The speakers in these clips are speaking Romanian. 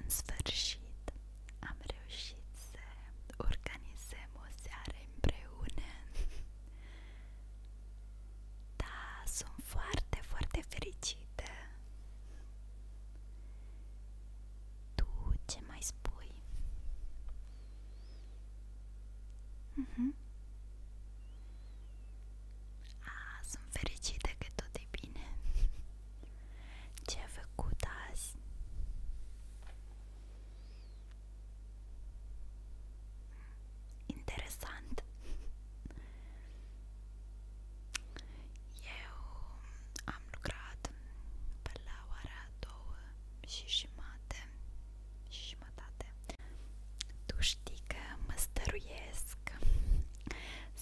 În sfârșit am reușit să organizăm o seară împreună Da, sunt foarte, foarte fericită Tu ce mai spui? Mhm. A, sunt fericită că tot e bine. Ce ai făcut azi? Interesant. Eu am lucrat pe la ora două și jumate și jumătate. Tu știi că mă stăruiesc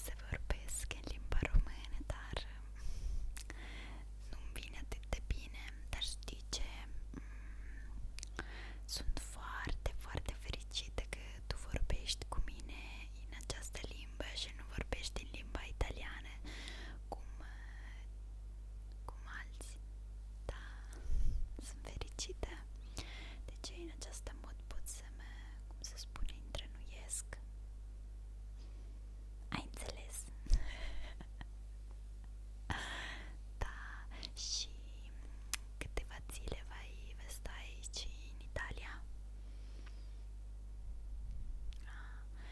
să vorbesc în limba română, dar nu-mi vine atât de bine, dar știi ce? Mm, sunt foarte, foarte fericită că tu vorbești cu mine în această limbă și nu vorbești în limba italiană, cum cum alții, da, sunt fericită. Deci în această mod pot să mă, cum se spune, întrenuiesc. Ai înțeles? da, și câteva zile vai vesta aici în Italia. Ah,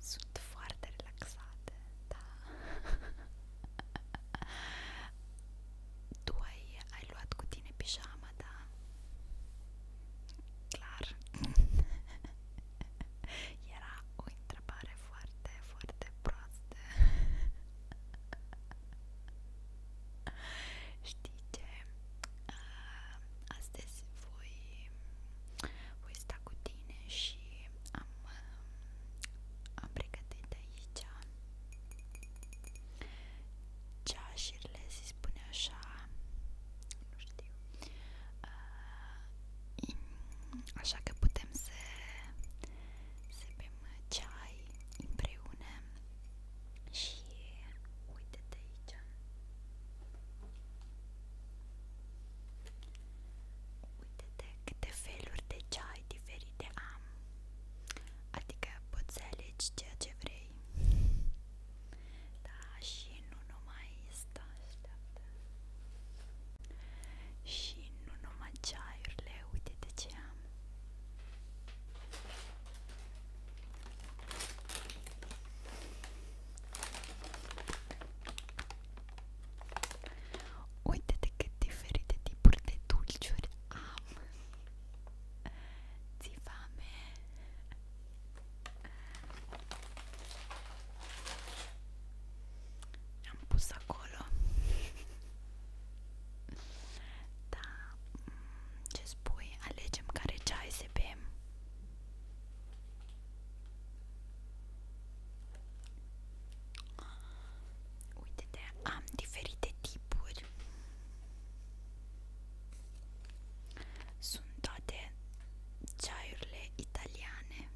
sunt foarte relaxate, da. tu ai, ai luat cu tine pijama, da? Clar. Era o întrebare foarte, foarte proastă. Știi ce? Astăzi voi, voi sta cu tine și am, am pregătit aici ceașurile, se spune așa, nu știu, uh, așa că putem să, să bem ceai împreună și uite-te aici Uite-te câte feluri de ceai diferite am Adică poți să alegi ceea ce vrei Da, și nu numai asta așteaptă Și nu numai ceaiurile, uite-te ce am Uite-te cât diferite tipuri de dulciuri am! Ți fame! Am pus acolo Da, mm, ce spui? Alegem care ceai să bem Uite-te, am diferite tipuri. Sunt toate ceaiurile italiane.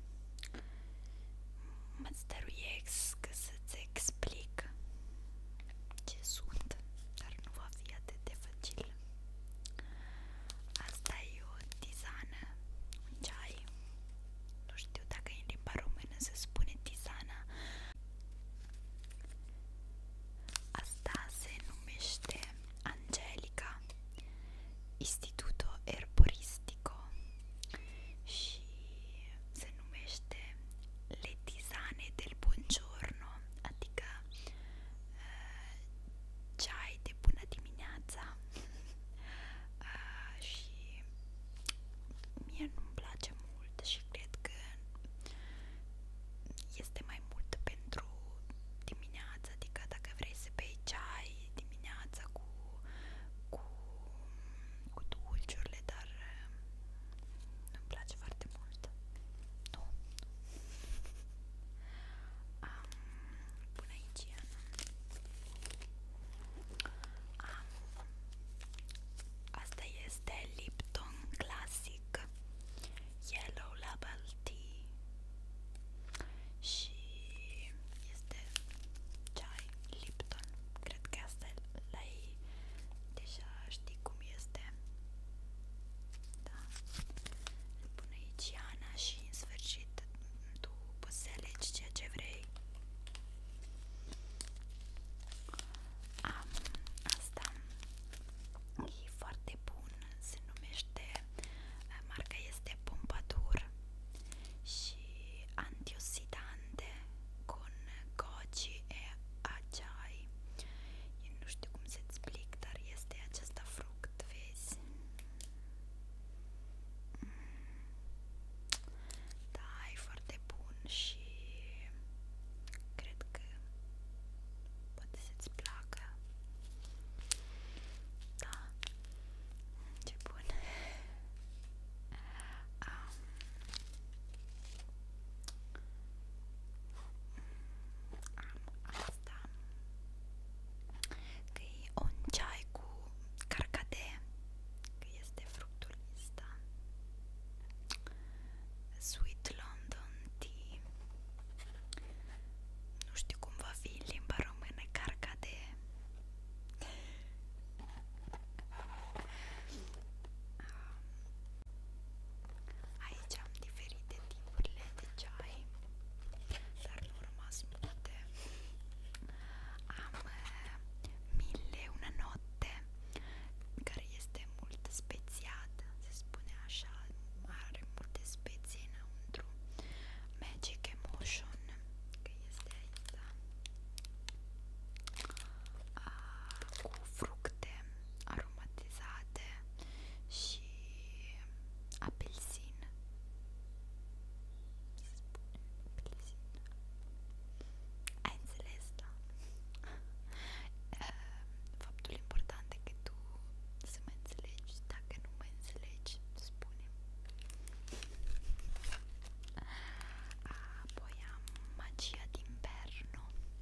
Mă stăruiesc să-ți explic ce sunt, dar nu va fi atât de facil. Asta e o tizană, un ceai. Nu știu dacă e în limba română se spune tizana. Asta se numește Angelica, Instituto Erboristico și se numește Le Tisane del Buongiorno, adică ceai de bună dimineața și mie nu-mi place mult și cred că este mai mult pentru dimineața, adică dacă vrei să bei ceai dimineața cu cu, cu dulciurile, dar uh, nu-mi place foarte mult. Nu. Am, până aici Am, Asta este Lipton Classic Yellow Label Tea și este ceai Lipton. Cred că asta l-ai deja știi cum este. Da. Îți și în sfârșit tu poți să alegi ceea ce vrei. asta. E foarte bun. Se numește eh, marca este Pompadour și antioxidante con goji e acai. nu știu cum se explică strict, dar este acesta fruct, vezi? Mm. Da, e foarte bun și cred că poate să-ți placă. Da, ce bun. Um, am asta Că e un ceai cu carcade Că este fructul ăsta Sweet London Tea Nu știu cum va fi în limba română carcade Aici am diferite tipurile de ceai, dar nu au rămas multe. Am uh, eh, mille una notte, care este mult spețiat, se spune așa, are multe speții înăuntru. Magic Emotion, că este aici, da? A, ah, cu fructe aromatizate și apelsin. Se spune apelsin. Ai înțeles, da? Ehm, faptul important e că tu să mă înțelegi, dacă nu mă înțelegi, spune. Apoi am magia din perno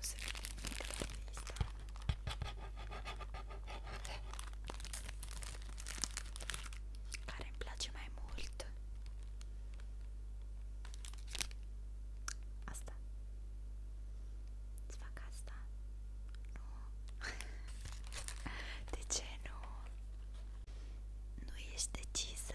se vede nimic la vista. Care îmi place mai mult. Asta. Îți fac asta? Nu. De ce nu? Nu ești decisă?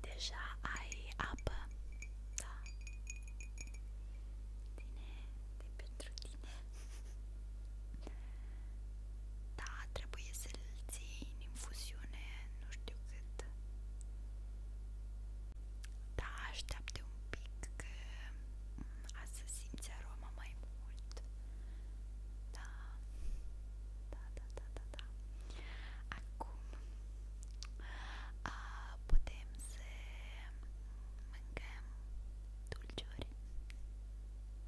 Deja ai apă, da. Tine, de pentru tine. Da, trebuie să-l ții în infuziune, nu știu cât. Da, așteaptă un pic că mm, azi să simți aroma mai mult. Da. Da, da, da, da, da. Acum a, putem să mâncăm dulciuri.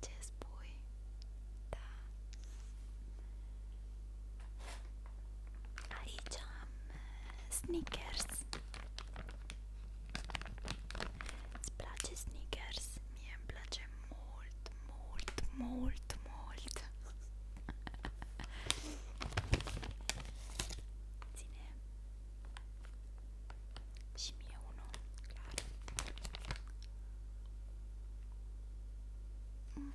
Ce spui? Da. Aici am uh, Snickers. Îți place Snickers? Mie îmi place mult, mult, mult, mult. Ține. Și mie unul, clar. Mm.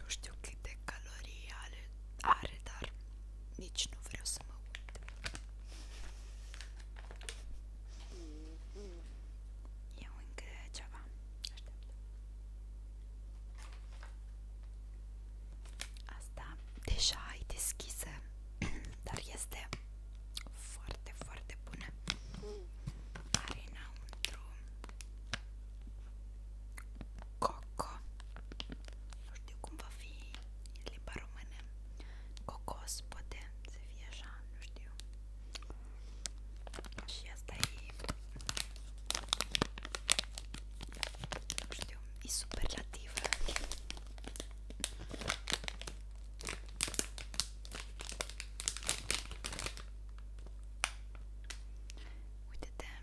nu știu câte calorii are, are dar nici nu vreau să mă uit. Eu încă ceva. Aștept. Asta deja ai deschisă, dar este foarte, foarte bună. Are înăuntru coco nu știu cum va fi în limba română cocos poate să fie așa, nu știu și asta e nu știu, e superlativă Uite-te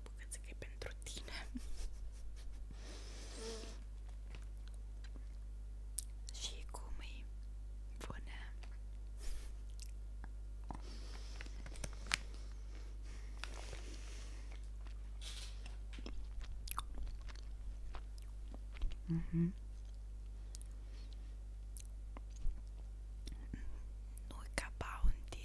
asta bucățică pentru tine mm. și cum îi bună mm-hmm. Nu e ca bounty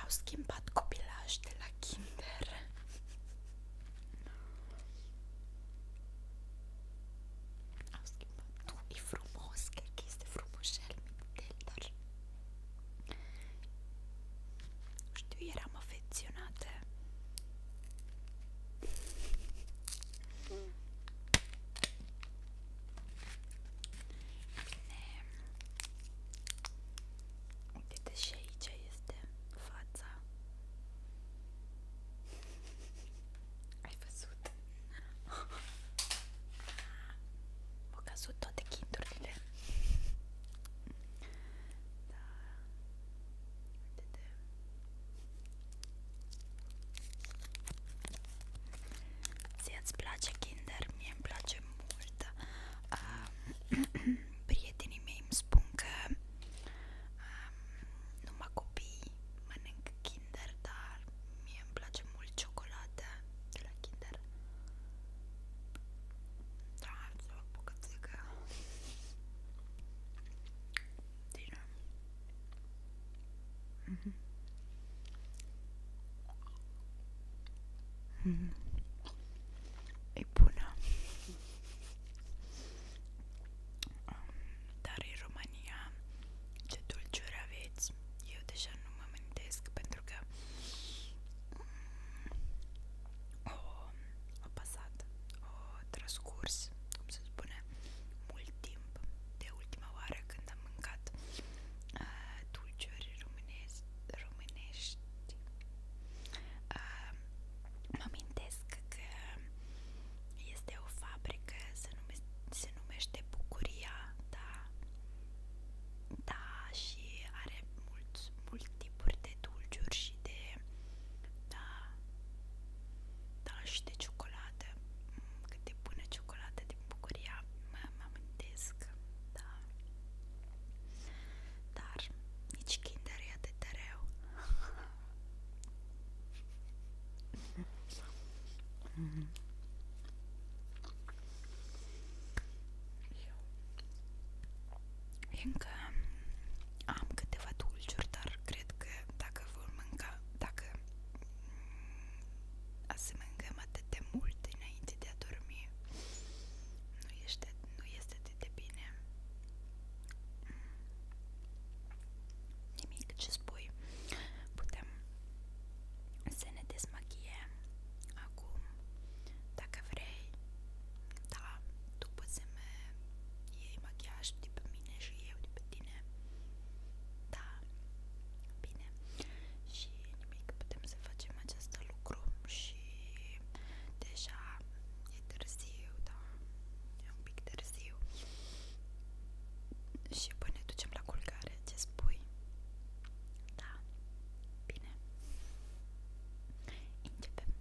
Au schimbat copilaj de la kinder Au schimbat Tu, e frumos, cred că este frumușel Mintel, dar Nu știu, eram afecționată Uite și aici este fața Ai văzut? M-au căzut toate chindurile Da Uite-te Ție-ți place kinder? Mie îmi place mult uh, prietenii mei îmi spun că um, numai copii mănânc Kinder, dar mie îmi place mult ciocolată de la Kinder. Da, am să o bucățică. Din... Mm-hmm. Mm-hmm e bună dar în România ce dulciuri aveți eu deja nu mă amintesc pentru că mm, o, a pasat o transcurs cum se spune mult timp de ultima oară când am mâncat uh, dulciuri românezi românești. Uh, mă amintesc că este o fabrică, se, nume, se numește Bucuria, da, da, și are mulți, mulți tipuri de dulciuri și de, da, da, și de ciocolată, mm, cât de bună ciocolată de din bucuria mă amintesc, da. Dar nici Kinder e atât de rău. Mm. Eu. Încă am câteva dulciuri, dar cred că dacă vor mânca, dacă mm, să mâncăm atât de mult înainte de a dormi nu este, nu este atât de bine nimic ce spui putem să ne desmachiem acum dacă vrei da, tu poți să-mi iei machiaj de pe mine și eu de pe tine da, bine și nimic, putem să facem acest lucru și deja e târziu, da, e un pic târziu și până ne ducem la culcare, ce spui? Da, bine, începem!